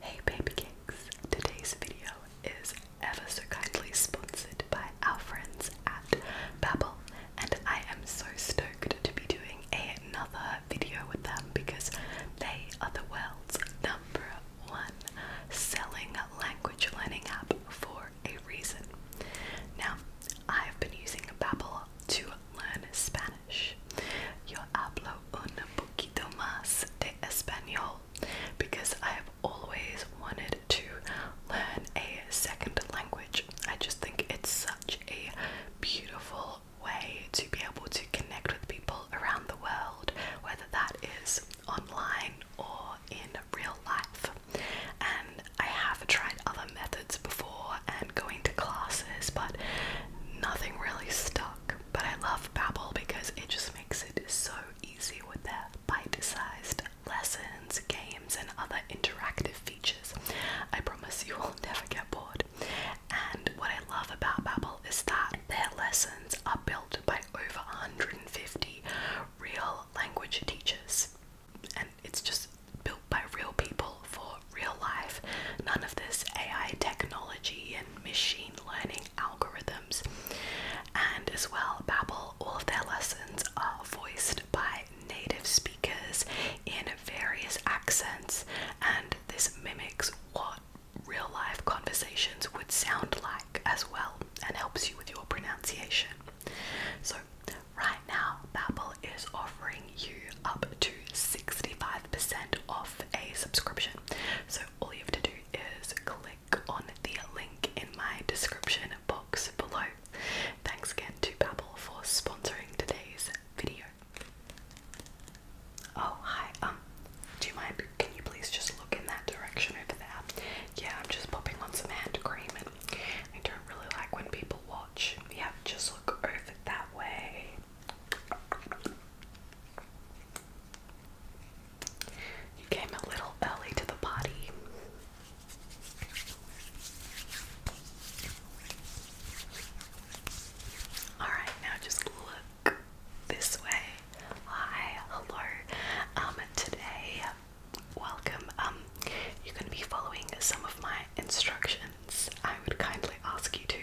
Hey baby cakes! Today's video is ever so kindly sponsored by our friends at Babbel and I am so stoked to be doing another video with them because they are the world's number one selling language learning app for a reason. Now, I've been using Babbel to learn Spanish Spanish. Yo hablo un poquito más I have always to learn a I just think it's such a beautiful way to be able to connect with people around the world, whether that is online or in real life. I have tried other methods before and going to classes, but nothing really stuck but I love Babbel because it just makes it so easy with their bite-sized lessons, games, and other interactive features. I promise you will never get bored. And what I love about Babbel is that their lessons are built by over 150 real language teachers, and it's just built by real people for real life. None of this AI technology and machine learning algorithms. And as well, Babbel, all of their lessons are voiced by native speakers in various accents, and this mimics what real life conversations would sound like as well and helps you with your pronunciation. So, right now, Babbel is offering you up to 65% off a subscription. So all you have to do is click on the link in my description box below. Thanks again to Babbel for sponsoring today's video. Oh hi, um, do you mind can you please just look in that direction over there? Yeah, I'm just popping on some hand cream I don't really like when people watch. Yeah, just look over that way. You came a little early to the party. Alright, now just look this way. Hi, hello. Um, today, welcome. Um, you're gonna be following some of my instructions, I would kindly ask you to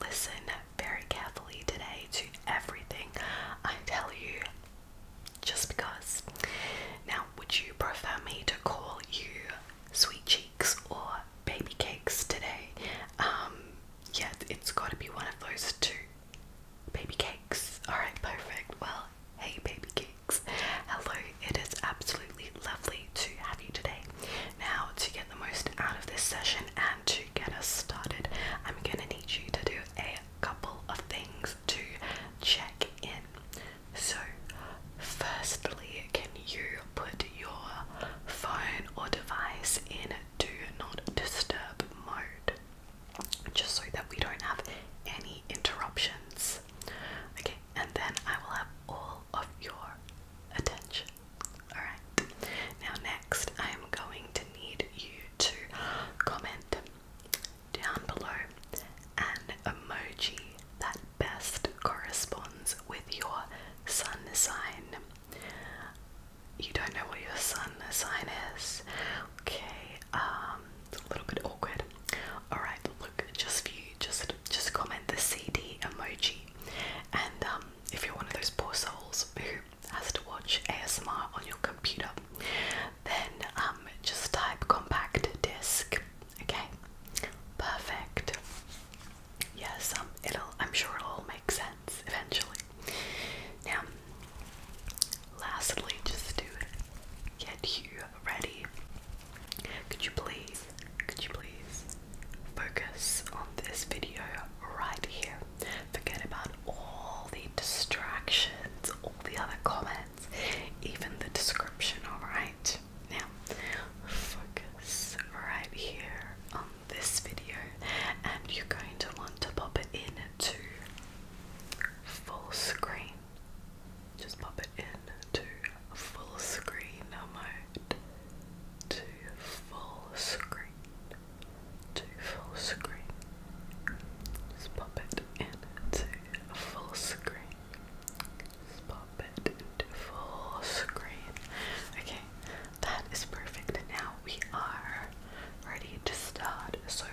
listen very carefully today to everything I tell you just because. Now, would you prefer me to call you sweet cheeks or baby cakes today? Um, it's got to be one of those two. Baby cakes. Alright, perfect. Well, hey, baby cakes. Hello, it is absolutely lovely to have you today. Now, to get the most out of this session and to get us started, I'm gonna need you to do a couple of things to check in. So, firstly, can you put your phone or device in do not disturb mode? Just so that we don't have any interruptions. Okay, and then I will have all of your attention. Alright, now next I am going to need you to comment down below an emoji that best corresponds with your sun sign. You don't know what your sun sign is? Okay, um, it's a little bit awkward. Alright, look, just for you, just just comment the CD emoji. And um, if you're one of those poor souls who has to watch ASMR on your computer, then um, just type compact disc. Okay, perfect. Yes, um, it'll. I'm sure it'll all make sense eventually. Now, lastly, just to get you ready. Could you please, could you please focus on this video right here? Forget about all the distractions, all the other comments, even the description, alright? Now, focus right here on this video, and you're going to want to pop it in to full screen just pop it in to full screen mode. To full screen. To full screen. Just pop it into full screen. Just pop it into full screen. Okay, that is perfect. Now we are ready to start. So,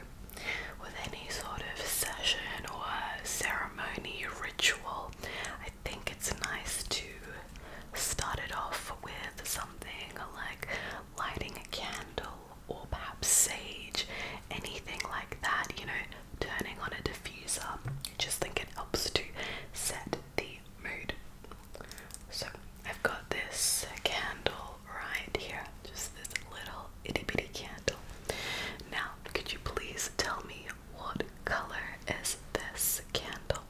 with any sort of session or ceremony, ritual, I think it's nice to start it off with something like lighting a candle or perhaps sage, anything like that, you know, turning on a diffuser. I just think it helps to set the mood. So I've got this candle right here, just this little itty bitty candle. Now, could you please tell me what color is this candle?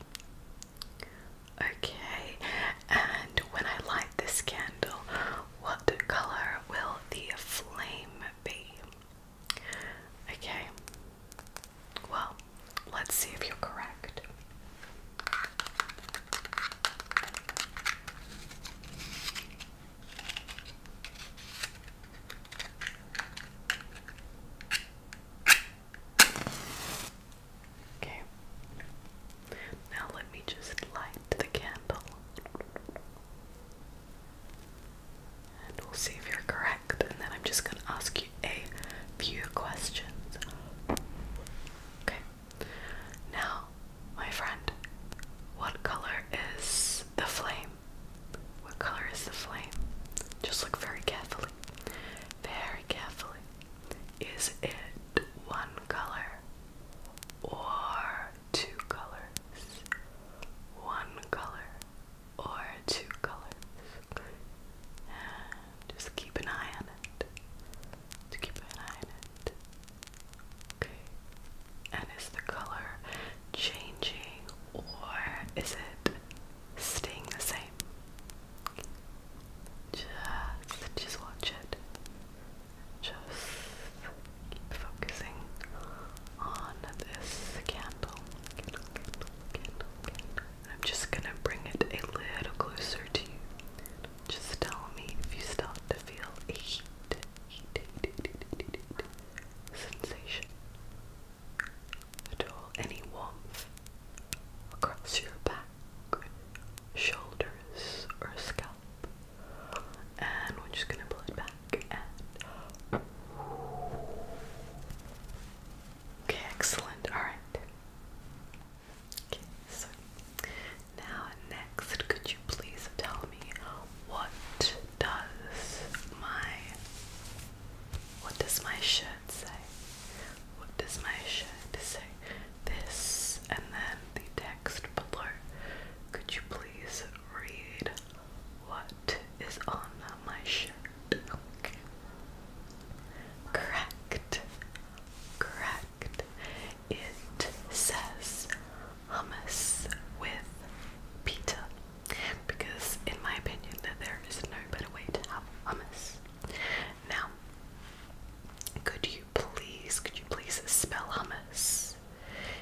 Okay, and when I light this candle, what color will the flame be? Okay, well, let's see if you're correct. Okay. Now let me just light the candle. And we'll see if you're correct. And then I'm just going to ask you a few questions. Okay. Now, my friend, what color is the flame? What color is the flame? Just look very carefully. Very carefully. Is it one color or two colors? One color or two colors. just keep an eye on it. To keep an eye on it. And is the color changing or is it staying the same? Just, just watch it. Just keep focusing on this candle. I'm just gonna bring it a little closer to you. Just tell me if you start to feel a heat heat, heat, heat, heat, heat, heat sensation at Any warmth across your back, shoulders, or scalp. And we're just gonna pull it back Okay, excellent. Alright. Okay, so now, next, could you please tell me what does my what does my shirt say? What does my shirt say? This and then the text below. Could you please read what is on my shirt? Correct. Correct. It says hummus with pita because, in my opinion, there is no better way to have hummus. Now, could you please, could you please spell hummus?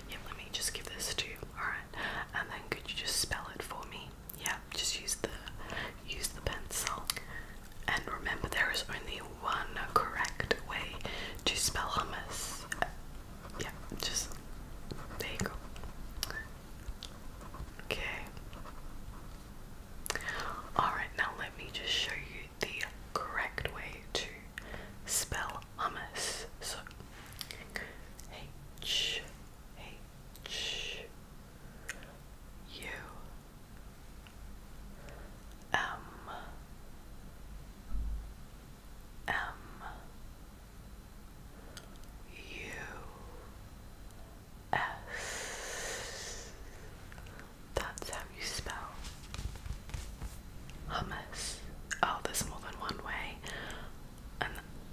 Yeah, let me just give this to you. All right, and then could you just spell it for me? Yeah, just use the use the pencil. And remember, there is only one correct way to spell hummus. Yeah, just there you go. Okay. Alright, now let me just show you the correct way to spell hummus. So H H U M um, M um, U S That's how you spell hummus. Oh, there's more than one way. And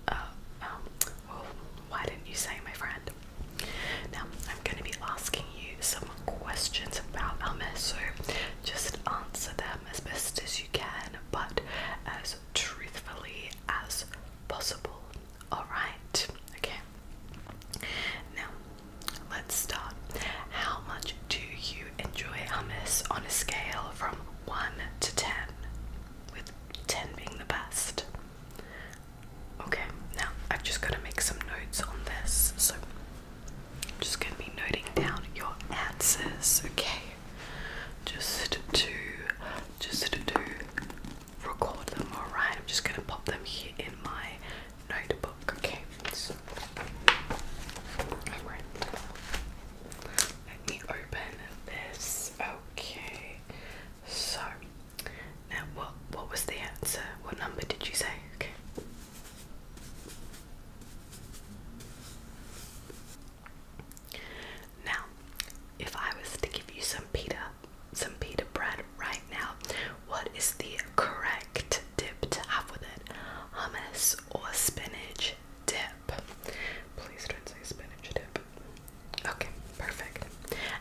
uh um well, oh, why didn't you say my friend? Now I'm gonna be asking you some questions about them, so just answer them as best as you can, but as truthfully as possible. Alright, okay. Now, let's start. How much do you enjoy hummus on a scale from 1 to 10? With 10 being the best. Okay, now I've just got to make some notes on this. So, I'm just going to be noting down your answers, okay? Just to, just to record them, alright? I'm just going to pop them here in my notebook, okay? So, alright. Let me open this, okay? So, now what, what was the answer? What number did you say? Okay. Now, if I was to give you some pita, some pita bread right now, what is the correct dip to have with it? Hummus or spinach dip? Please don't say spinach dip. Okay, perfect.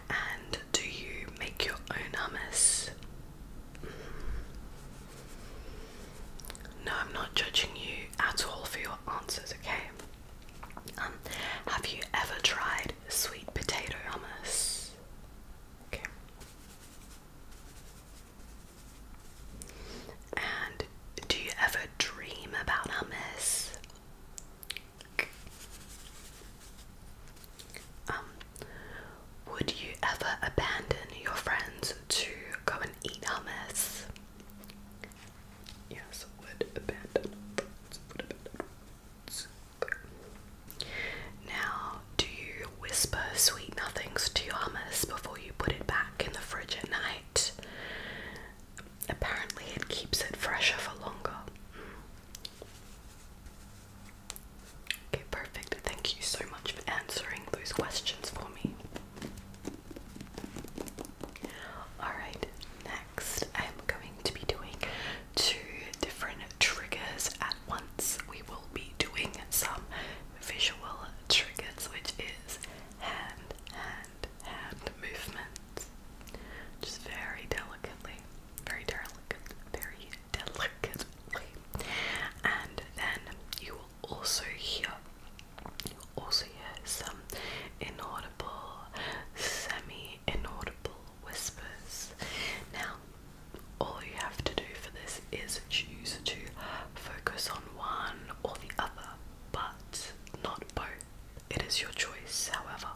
And do you make your own hummus? No, I'm not judging you at all for your answers, okay? Um, have you ever tried sweet potato hummus? Okay. And do you ever dream about hummus? Um, would you ever abandon your friends to go and eat hummus? Yes, Would abandon. Now, do you whisper sweet nothings to your hummus before you put it back in the fridge at night? Apparently, it keeps it fresher for longer. Okay, perfect. Thank you so much for answering those questions for me. Alright, next I'm going to be doing two different triggers at once. We will be doing some visual triggers, which is hand, hand, hand movements. Just very delicately, very delicate, very delicate and then you will also hear you will also hear some inaudible, semi-inaudible whispers. Now, all you have to do for this is choose to focus on one or the other, but not both. It is your choice, however.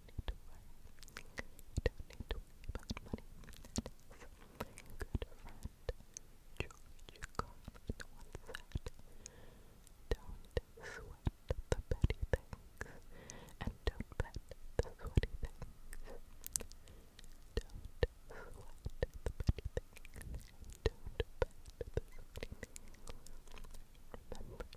need You Don't sweat the petty things, and don't pet the sweaty things. Don't sweat the petty things, and don't pet the sweaty things. Remember that.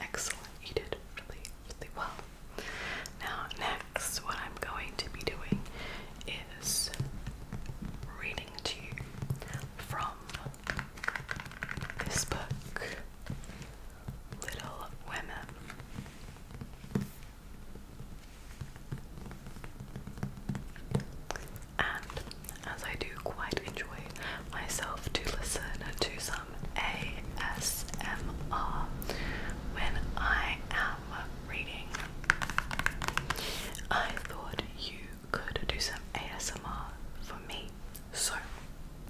Excellent, you did really, really well. Now, next, what I'm going to be doing is reading to you from this book, Little Women. And as I do quite enjoy myself to listen to some um, ASMR when I am reading. I thought you could do some ASMR for me, so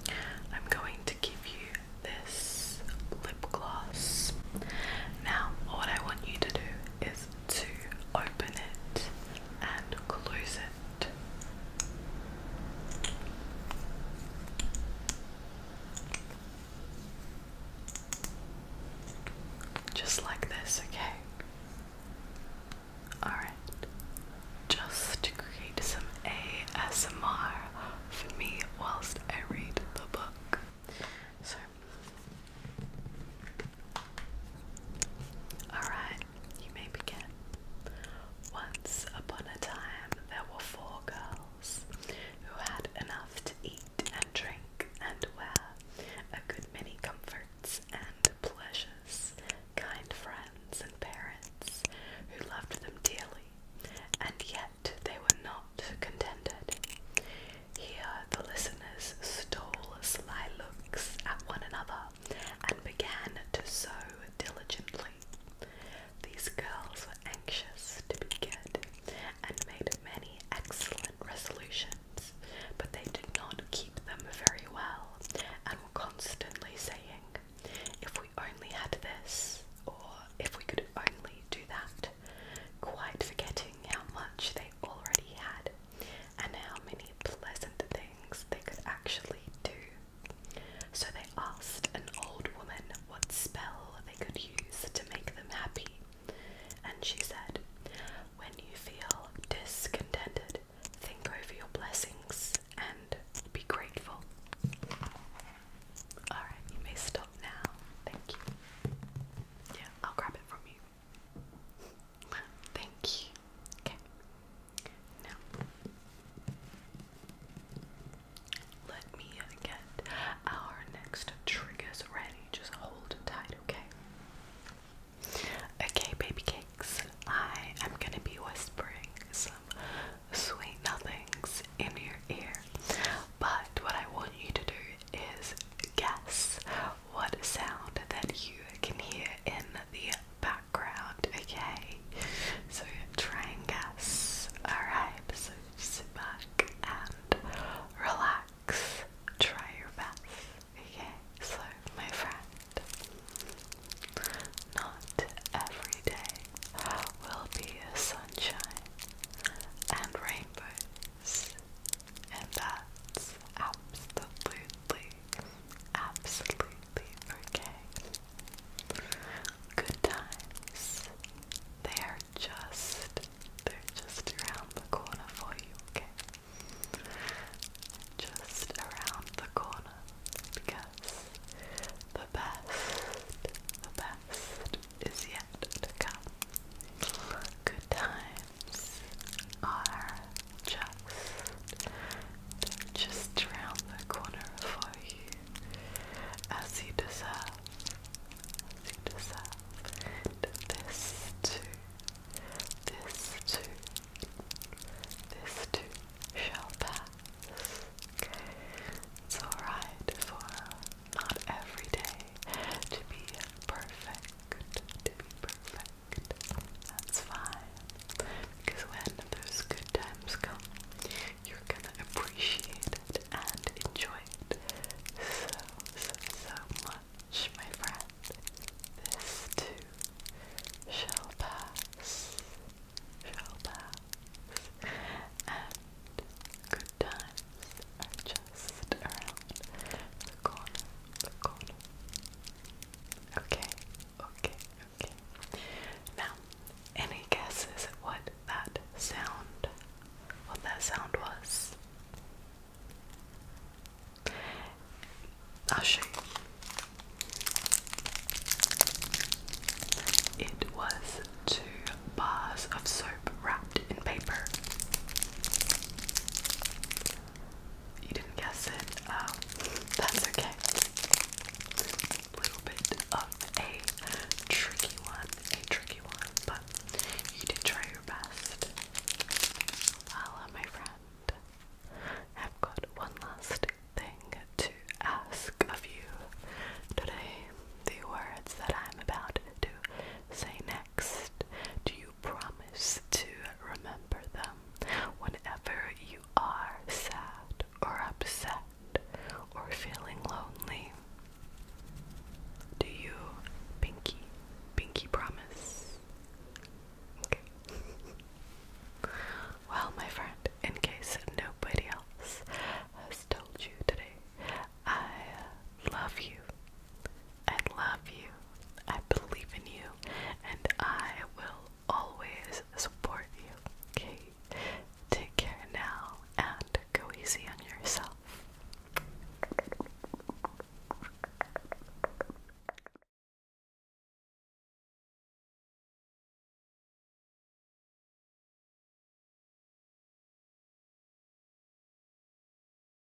I'm going to give you this lip gloss. Now, what I want you to do is to open it and close it. Just like this, okay? Alright. Just to create some ASMR for me whilst I read the book. So. Alright you may begin. Once upon a time, there were four girls who had enough to eat and drink and wear a good many comforts and pleasures, kind friends and parents who loved them dearly, and yet they were not contented. Here the listeners stole sly looks at one another and began to sew diligently. These girls were anxious to be good and made many excellent resolutions, but they did not keep them very well and were constantly saying, If we only had this, or if we could only do that, quite forgetting how much they already had and how many pleasant things they could actually do. So they asked an old woman what spell they could use to make them happy, and she said, When you feel discontented, think over your blessings and be grateful. Alright, you may stop now. Thank you. Yeah, I'll grab it from you. Thank you. Okay. Now, let me get our next triggers ready. Just hold tight, okay? Okay, baby cakes. I am gonna be whispering some sweet nothings in your ear. But what I want you to do is guess what sound that you can hear in the background okay? So try and guess. Alright, so sit back and relax. Try your best. Okay, so my friend, not every day will be sunshine and rainbows, and that's absolutely absolutely okay. Good times. They are just they're just around the corner for you, okay? Just around the corner because the best, the best is yet to come. Good times are just, just around the corner for you, as you deserve, you deserve, this too, this too, this too shall pass. It's alright for not every day to be perfect. That's fine. Because when those good times come, you're gonna appreciate it and enjoy it so, so, so much, my friend. This too shall pass, shall pass, and good times are just around the corner, the corner. Okay, okay, okay. Now, any guesses at what that sound, what that sound was? I'll show you. It was two bars of soap wrapped in paper. You didn't guess it. Um, that's okay. A little bit of a tricky one, a tricky one, but you did try your best. Voila, my friend. I've got one last thing to ask of you today. The words that I'm about to say next, do you promise to remember them whenever you are sad or upset or feeling lonely. Do you, Pinky? Pinky promise. well, my friend, in case nobody else has told you today, I love you. I love you, I believe in you, and I will always support you. Okay, take care now and go easy on yourself.